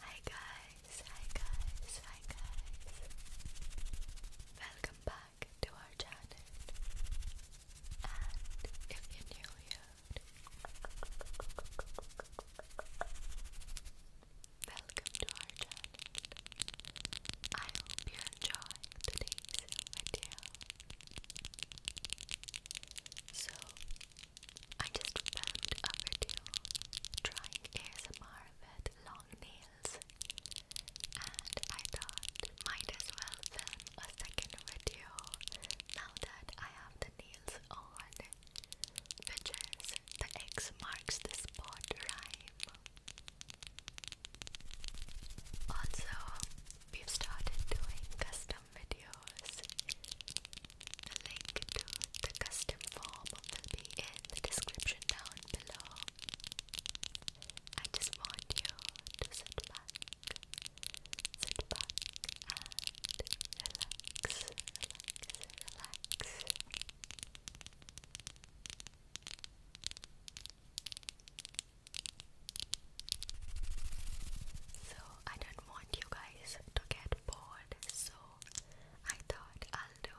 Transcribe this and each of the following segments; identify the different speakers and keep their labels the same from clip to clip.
Speaker 1: Hi guys, hi guys, hi guys. Welcome back to our channel. And if you're new here, welcome to our channel. I hope you enjoy today's video. So I just found a video trying ASMR with long nails and I thought might as well film a second video now that I have the nails on which is the X marks the spot rhyme also, we've started doing custom videos. The link to the custom form will be in the description down below. I just want you to sit back, sit back and relax, relax, relax. So I don't want you guys to get bored, so I thought I'll do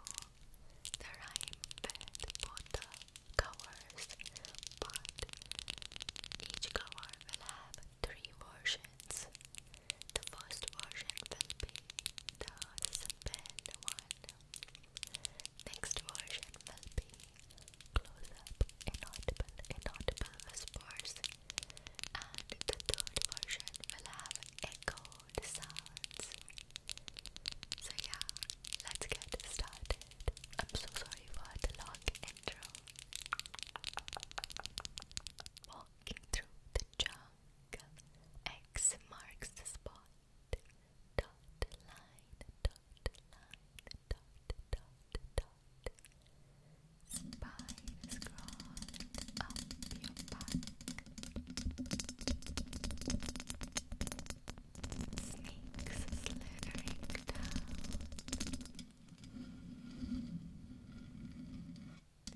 Speaker 1: the rhyme with both the covers, but each cover will have three versions. The first version will be the simple one Next version will be close up, inaudible, inaudible whispers, and the third version will have echoed sounds. So, yeah, let's get started. I'm so sorry for the long intro. Walking through the jungle, X marks the spot dot line, dot line, dot dot dot. Spines crawling up your back. Snakes slithering down.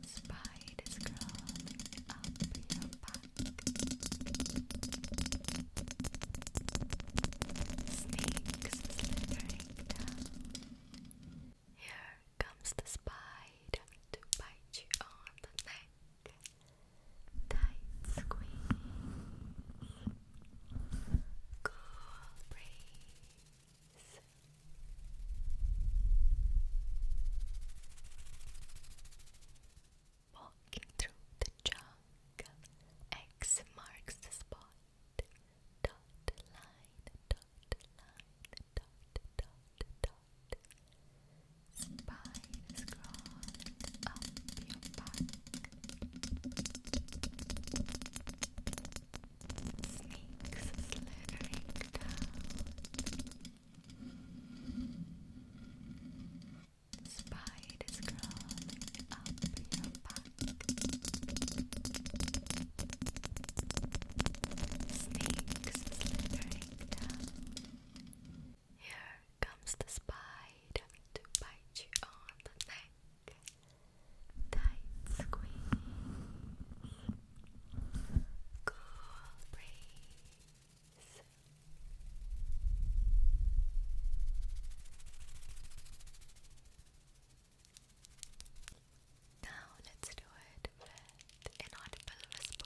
Speaker 1: Spiders crawling up your back. Snakes slithering down. Here comes the spider to bite you on the neck. Tight squeeze. Cool breeze. Walking through the jungle, X marks the spot. Dot line, dot line, dot, dot, dot. Spiders crawling up your back. Snakes slithering down. Spiders crawling up your back. Snakes slithering down. Here comes the spider to bite you on the neck. Tight squeeze. Cool breeze. Now let's do it with inaudible whispers.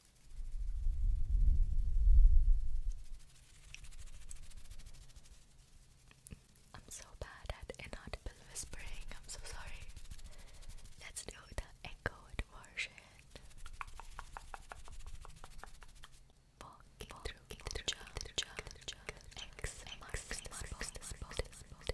Speaker 1: I'm so bad at inaudible whispering, I'm so sorry. Let's do the echoed version. Walking, through, through, through, through, through, through,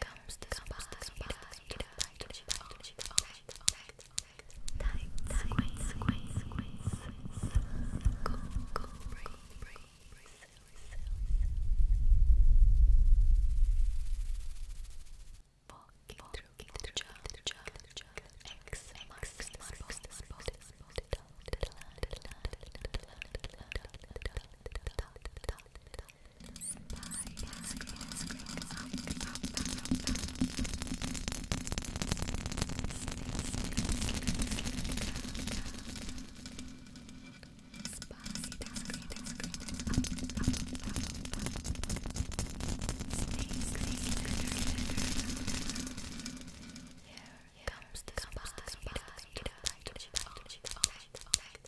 Speaker 1: comes the spider, tight, squeeze, squeeze, squeeze, go, go, breathe, breathe, breathe, here comes the spider,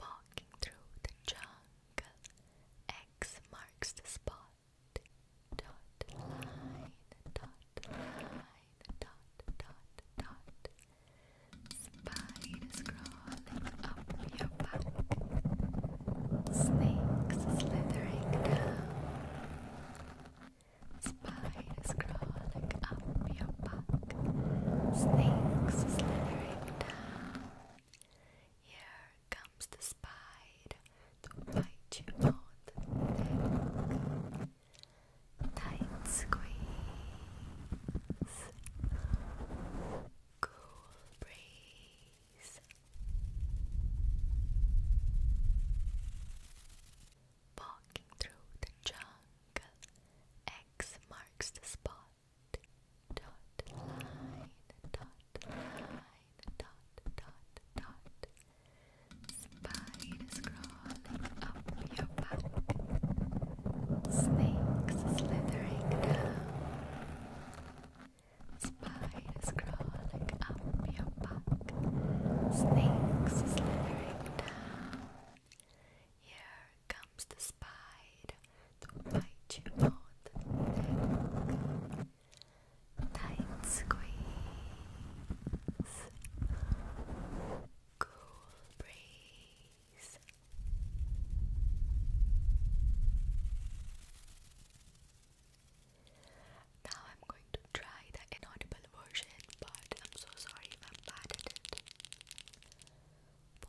Speaker 1: Walking through the jungle, X marks the spot. Dot line, dot line, dot, dot, dot. Spiders crawling up your back. Snakes slithering down. Spiders crawling up your back. Snakes slithering down. Here comes the spider to bite you on Tight squeeze, cool breeze. Walking through the jungle, X marks the spot dot line, dot line, dot dot dot. Spiders crawling up your back, snakes slithering down. Spiders crawling up your back, snakes slithering down. Here comes the spider to bite you Tight squeeze, cool breeze. Now I'm going to try the inaudible version, but I'm so sorry if I'm it.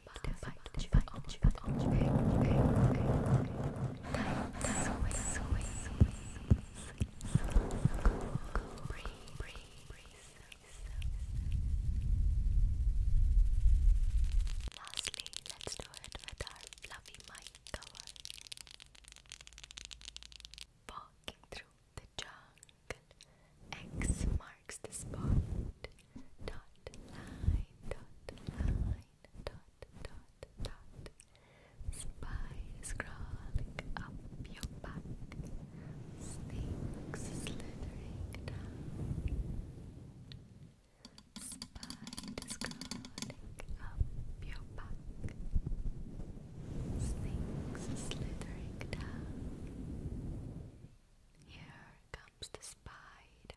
Speaker 1: Lastly, let's do it with our fluffy mic cover. Walking through the jungle, X marks the spot. Dot line, dot line, dot dot dot Spies crawling up your back Snakes slithering down Spies crawling up your back Snakes slithering down Here comes the spider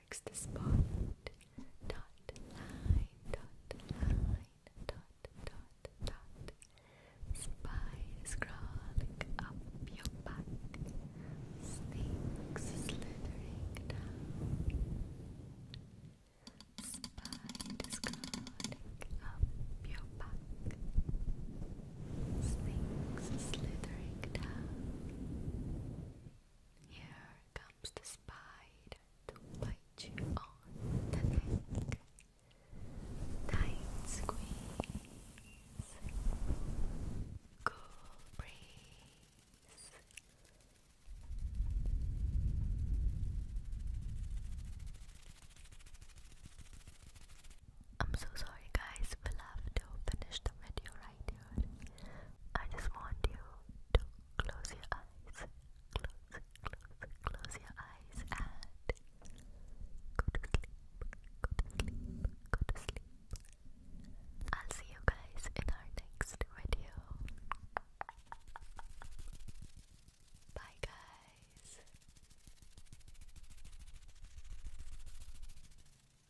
Speaker 1: marks to spot. Dot line, dot line, dot dot dot. Spies crawling up your back. Snakes slithering down. Spiders crawling up your back. Snakes slithering down. Here come stops the spider to bite you on the neck. Tight squeeze, cool breeze. I'm so sorry, guys. We'll have to finish the video I just want you to close your eyes. Close, close, close your eyes and go to sleep. Go to sleep. Go to sleep. I'll see you guys in our next video. Bye, guys.